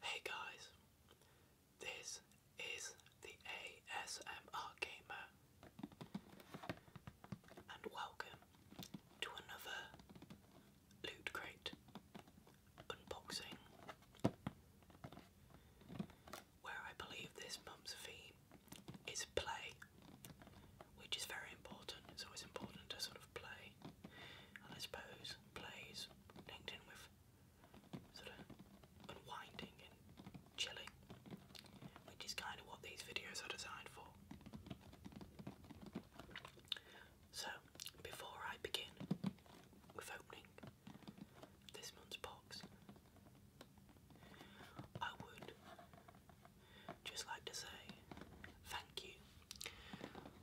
Hey guys, this is the ASMR Gamer, and welcome to another loot crate unboxing where I believe this month's theme is play, which is very important. It's always important to sort of play, and I suppose plays linked in with sort of unwinding and chilling, which is kind of what these videos are designed for. So, before I begin with opening this month's box, I would just like to say thank you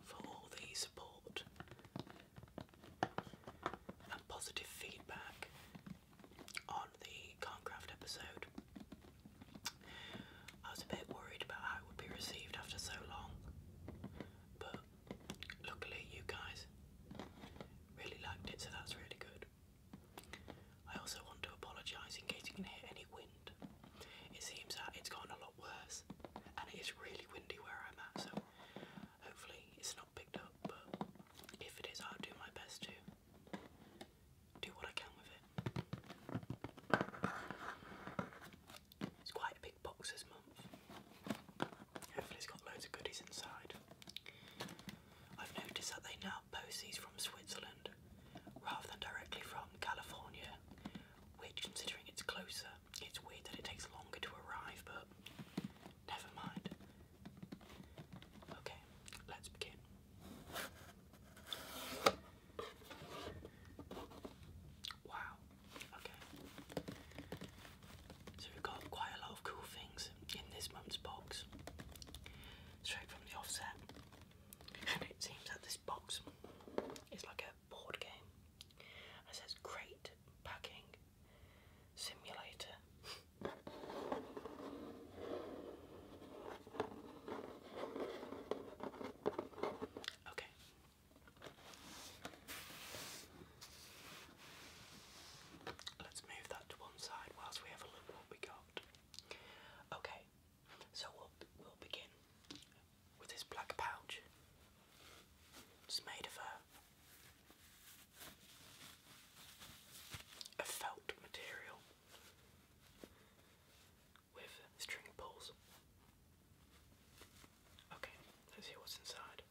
for all the support and positive feedback on the Concraft episode. I was a bit worried about how it would be received after so long, but luckily you guys really liked it, so that's really good. I also want to apologise in case you can hear any wind. It seems that it's gotten a lot worse, and it is really windy where I'm at, so hopefully it's not picked up, but if it is, I'll do my best to do what I can with it. It's quite a big box this month. Hopefully, it's got loads of goodies inside. I've noticed that they now post these from Switzerland rather than directly from California, which, considering it's closer, it's weird that it takes longer to arrive, but never mind. Okay, let's begin. Wow, okay. So we've got quite a lot of cool things in this month's box. Straight from the offset. And it seems that this box is like a board game. it says Great Packing Simulator. Okay. Let's move that to one side whilst we have a look what we got. Okay, so we'll we'll begin with this black pouch. It's made of a felt material with string pulls. Okay, let's see what's inside.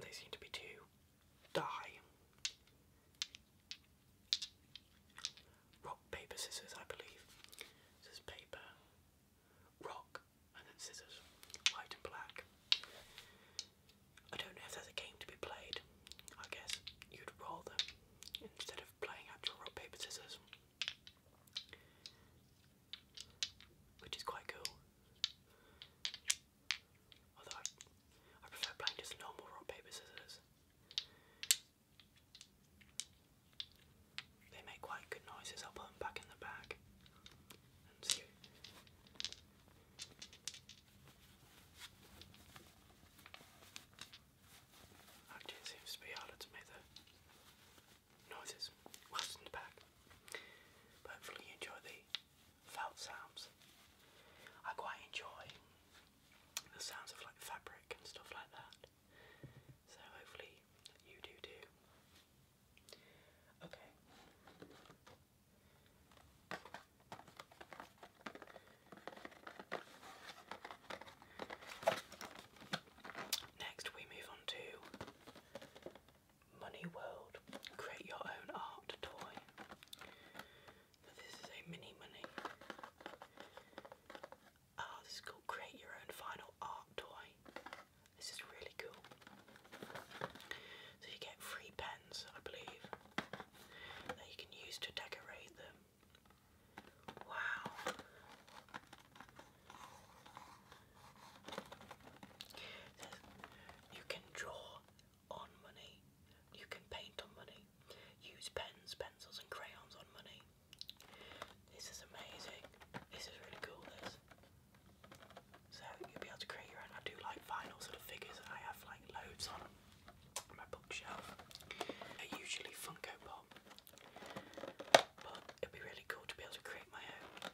They seem to be two. Die. Rock, paper, scissors, I believe. This paper, rock, and then scissors. White and black. I don't know if there's a game to be played. I guess you'd roll them instead of playing actual rock, paper, scissors. Which is quite cool. Although I, prefer playing just normal rock, paper, scissors. They make quite good noises. I'll put them back in the bag and see. Actually, oh, seems to be harder to make the noises whilst in the back. hopefully, enjoy the felt sounds. I quite enjoy the sounds of like fabric and stuff like that. So, hopefully, you do too. Okay, Next, we move on to Money World. Create your own art toy. this is a mini money. Oh, this is cool. Create your own final art toy. This is really cool. So you get three pens, I believe, that you can use to decorate them. Wow. You can draw on money. You can paint on money. Use pens, pencils and crayons on money. This is amazing. This is really cool this. So you'll be able to create your own. I do like vinyl sort of figures and I have like loads on them my bookshelf. are usually Funko Pop, but it'd be really cool to be able to create my own.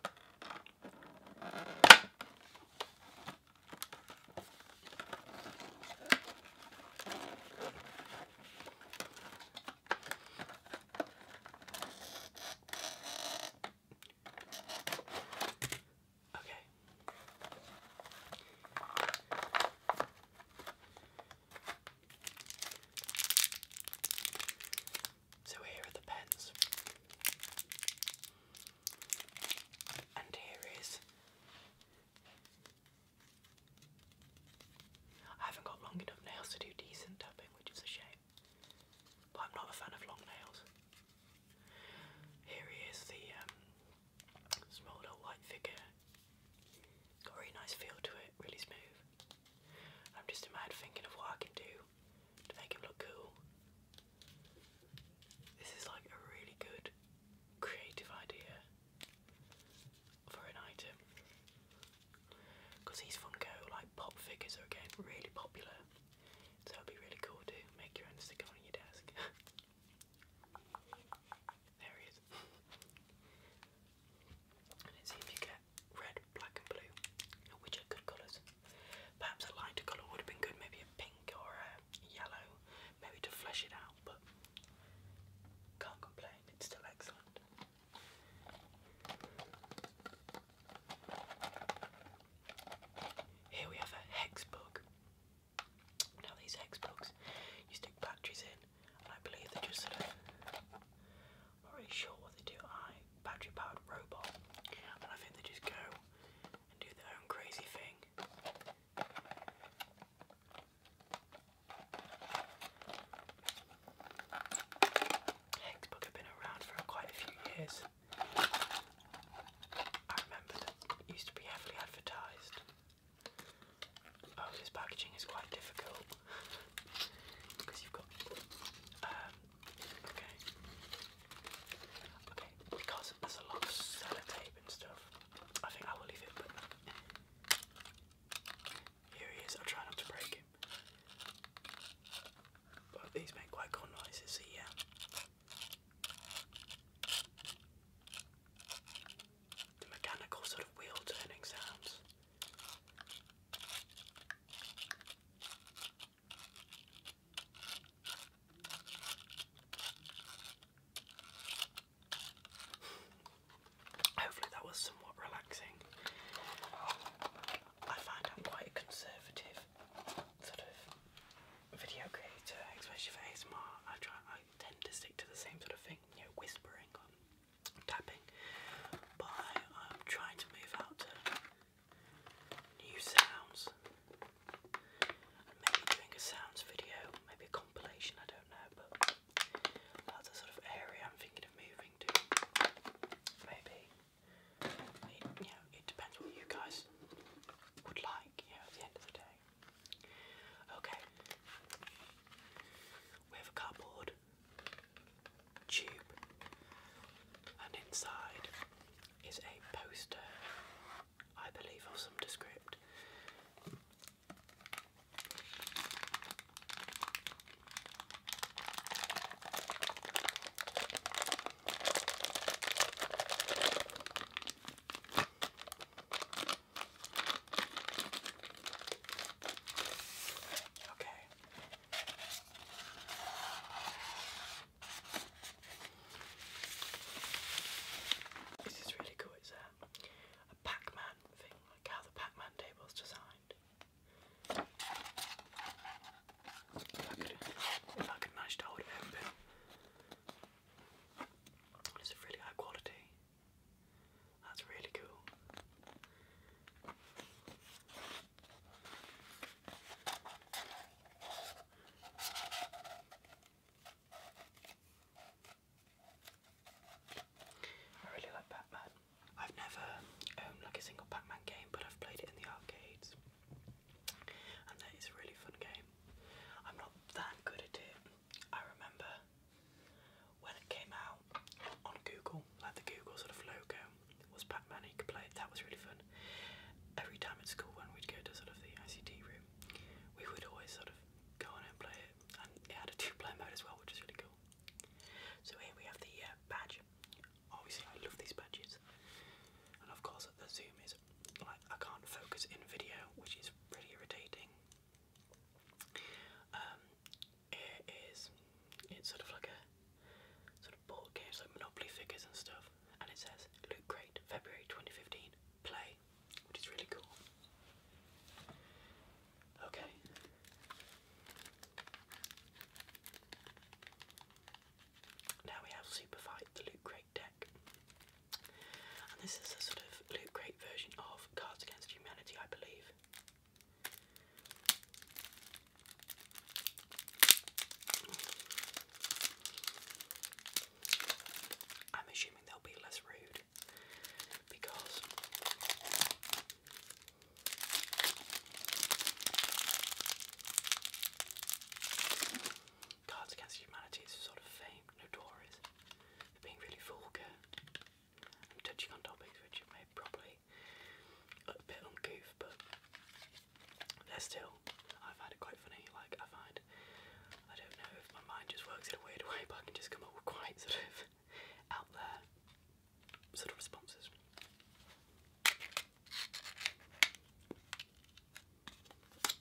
Okay. So here are the pens. And here is. I haven't got long enough nails to do decent tapping, which is a shame. But I'm not a fan of long nails. Here is the um, Small little white figure. Got a really nice feel to it, really smooth. I'm just a mad thinking of what I can do to make it look cool. This is like a really good creative idea for an item. Because these Funko like pop figures are again really popular. So it'd be really cool to make your own stick on your desk. There he is. and it's if you get red, black, and blue, which are good colours. Perhaps a lighter colour would have been good, maybe a pink or a yellow, maybe to flesh it out, but can't complain, it's still excellent. Here we have a hex bug. Now these Xbox, you stick batteries in, and I believe they're just sort of, not really sure what they do, I battery powered robot, and I think they just go and do their own crazy thing. Xbox have been around for quite a few years, I remember that it used to be heavily advertised. Oh, this packaging is quite difficult because you've got. Um, okay. Okay, because there's a lot of sellotape and stuff, I think I will leave it. But here he is. I'll try not to break him. But these make quite cool noises. So yeah, the mechanical sort of wheel turning sounds. Hopefully, that was somewhat relaxing. I find I'm quite conservative sort of video creator, especially for ASMR, I try I tend to stick to the same sort of thing, you know, whispering or tapping. But I, am trying to move out to new sounds. Maybe doing a sounds video, maybe a compilation, I don't know, but that's a sort of area I'm thinking of moving to. Maybe. you know, it depends what you guys would like like, you at the end of the day. Okay. We have a cardboard tube, and inside is a poster, I believe, of some descript. Okay. This is really cool. It's a, Pac-Man thing, like how the Pac-Man table's designed. If I could, if I could open, it's really high quality. That's really cool. I really like pac I've never owned like a single Pac-Man game, but I've played it in the arcades and that is a really fun game. I'm not that good at it. I remember when it came out on Google, like the Google sort of logo was Pac-Man you could play it. That was really fun. Every time at school when we'd go to sort of the ICT room, we would always sort of go on and play it. And it had a two-player mode as well, which is really cool. So here we have the uh, badge Obviously, I love these badges, and of course, the zoom is like I can't focus in video, which is pretty irritating. Um, it is it's sort of like a sort of board game, like Monopoly figures and stuff, and it says Loot Great, February 2015 play, which is really cool. Okay. Now we have Superfight, the Loot Crate deck. And this is a sort of Loot Crate version of Cards Against Humanity, I believe. I'm assuming they'll be less rude because Cards Against Humanity is sort of famed, notorious for being really vulgar touching on topics which it may probably a bit uncouth, but they're still, I find it quite funny. Like, I find, I don't know if my mind just works in a weird way, but I can just come up with quite sort of out there sort of responses. Okay.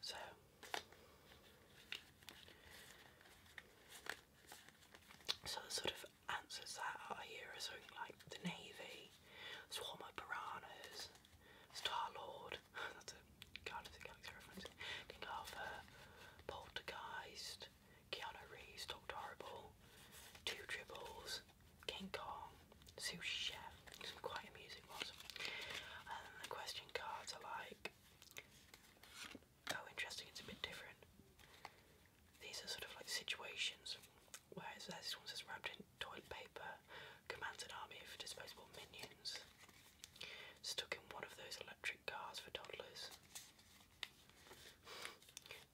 So so the sort of answers that I hear are something like the Navy, Swarm of Piranhas, Star Lord, Guardians of the Galaxy reference. King Arthur, Poltergeist, Keanu Reeves, Doctor Horrible, Two Tribbles, King Kong, Sous Chef. Some quite amusing ones. And then the question cards are like, oh interesting, it's a bit different. These are sort of like situations where this one says wrapped in toilet paper, commands an army of disposable minions. Stuck in one of those electric cars for toddlers.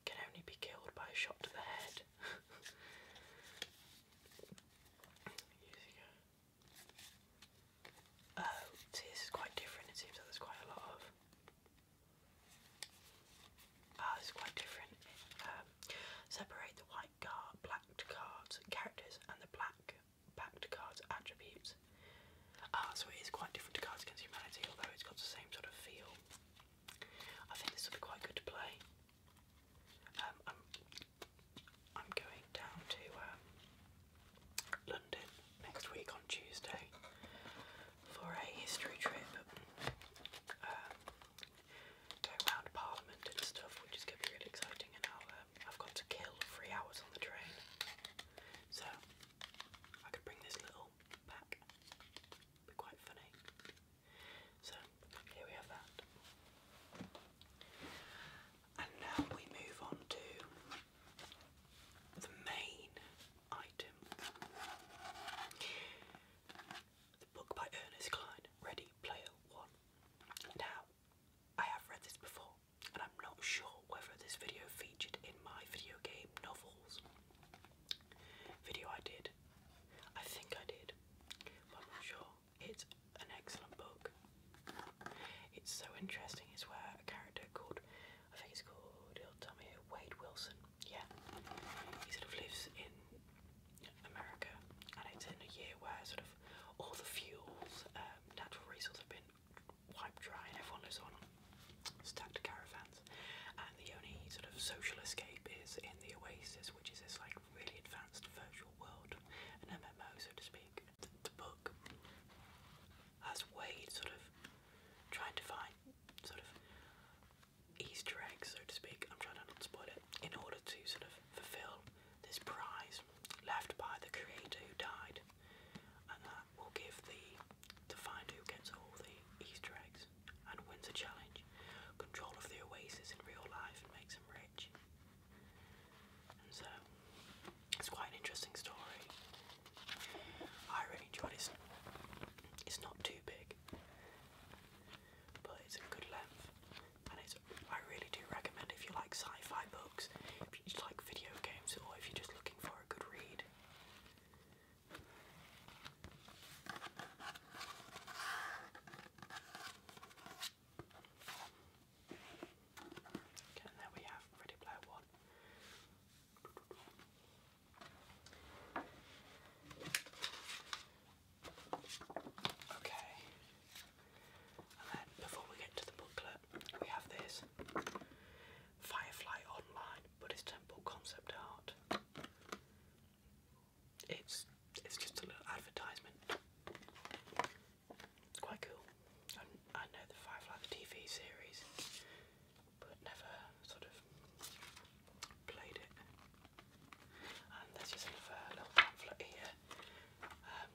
Can only be killed by a shot to the head. Oh, see, this is quite different. It seems like there's quite a lot of. Ah, oh, it's quite different. Um, separate the white car, blacked cards, characters, and the black back to cards attributes. Ah, so it is quite different to Cards Against Humanity, although it's got the same sort of feel. I think this will be quite good to play. Um, I'm, going down to um, London next week on Tuesday for a history trip. Um, Parliament and stuff, which is going to be really exciting, and I've got to kill three hours on the train. So I could bring this little back. be quite funny. So here we have that. And now we move on to the main item. The book by Ernest Cline, Ready Player One. Now, I have read this before, and I'm not sure whether this video featured in my video game novels video I did. I think I did, I'm not sure. It's an excellent book. It's so interesting. It's where a character called, I think it's called, he'll tell me, Wade Wilson. Yeah, he sort of lives in America, and it's in a year where sort of all the fuels, um, natural resources have been wipe dry and everyone lives on stacked caravans. And the only sort of social escape is in the Oasis, which is this like really advanced virtual world, an MMO so to speak. The, the book has Wade sort of trying to find sort of Easter eggs, so to speak. I'm trying to not spoil it in order to sort of fulfill this prize left by the creator who died, and that will give the to find who gets all the Easter eggs and wins a challenge. Control of the oasis in real life and makes him rich. And so it's quite an interesting story. I really enjoyed it. It's not too big, but it's a good length and it's I really do recommend if you like sci-fi books, if you like video games, or if you're just looking for a good read. Okay, there we have Ready Player One. Okay, and then before we get to the booklet, we have this Firefly Online Buddhist Temple concept art. It's it's just a little advertisement. It's quite cool. I, know the Firefly TV series, but never sort of played it. And there's just another little pamphlet here. Um,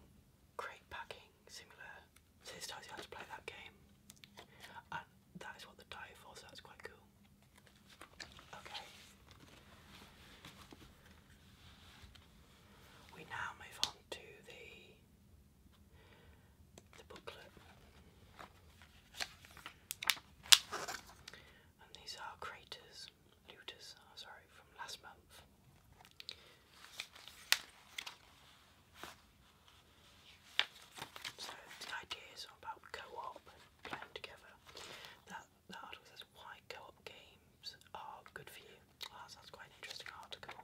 packing similar. So it tells you how to play that game, and that is what the die for. So that's quite cool. Okay. We now move on to the the booklet, and these are craters, looters. Oh, sorry, from last month. So the idea about co-op playing together. That that article says why co-op games are good for you. Oh, ah, that's quite an interesting article.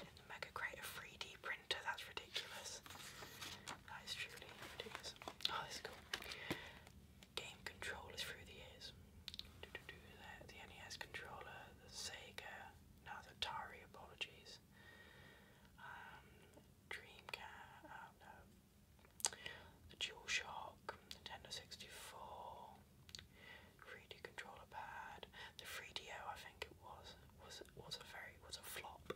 In the mega creator 3D printer, that's ridiculous. That is truly ridiculous. Oh, this is cool game controllers through the years. the, NES controller, the Sega, now the Atari, apologies. Um, Dreamcast, oh no. The DualShock, Nintendo 64, 3D controller pad, the 3DO I think it was, was, was a very, was a flop.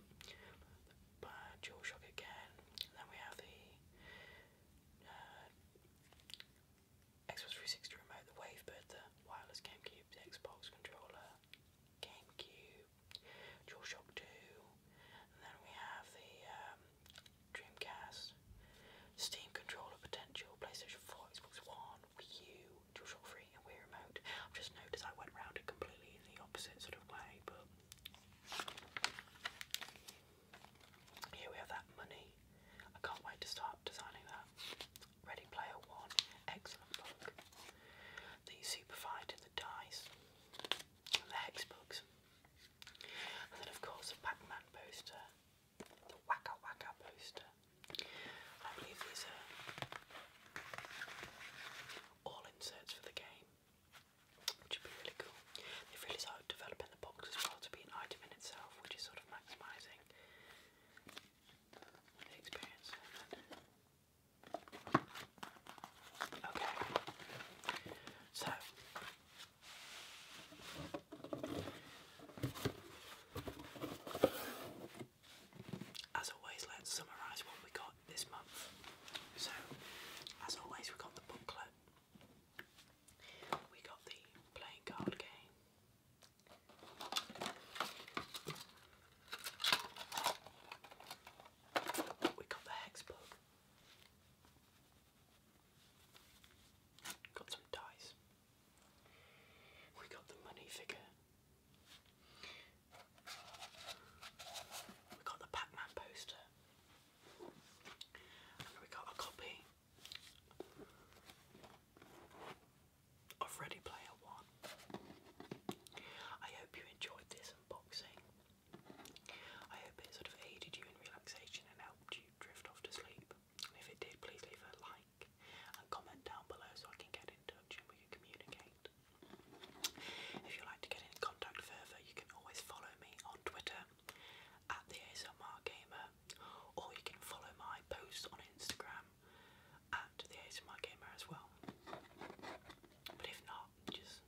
Uh, DualShock again, then we have the uh, Xbox 360 remote, the Wave, the wireless GameCube, the Xbox controller, GameCube, DualShock 2, and then we have the um, Dreamcast, Steam controller potential, PlayStation 4, Xbox One, Wii DualShock 3, and Wii Remote. I've just noticed I went round it completely in the opposite sort of way, but here we have that money. I can't wait to start designing that. Ready Player One, excellent book. The Superfight and the Dice, and the Hex And then of course the Pac-Man poster, the Waka Waka poster. I believe these are all inserts for the game would be really cool. They've really started developing the box as well to be an item in itself, which is sort of maximising the experience. Okay, so. As always, let's summarise what we got this month. So, as always, we got the booklet, we got the playing card game. We got the hex book. Got some dice. We got the money figure. We got the Pac-Man poster we got a copy of Ready Player One. I hope you enjoyed this unboxing. I hope it sort of aided you in relaxation and helped you drift off to sleep. And if it did, please leave a like and comment down below so I can get in touch and we can communicate. If you like to get in contact further, you can always follow me on Twitter at the ASMR Gamer, or you can follow my posts on Instagram at the ASMR Gamer as well. But if not, just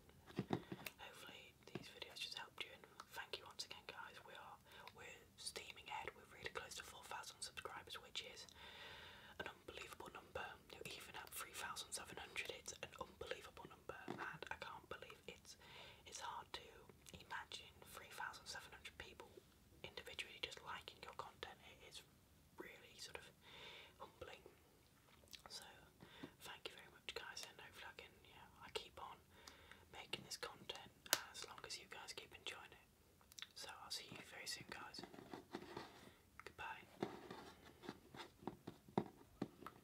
hopefully these videos just helped you. And thank you once again, guys. We are we're steaming ahead. We're really close to 4,000 subscribers, which is an unbelievable number. Even at 3,700, it's an unbelievable number, and I can't believe it's it's hard to imagine 3,700 people individually just liking your content. It is really sort of humbling. So thank you very much, guys, and hopefully I can, I keep on making this content as long as you guys keep enjoying it. So I'll see you very soon, guys. Goodbye.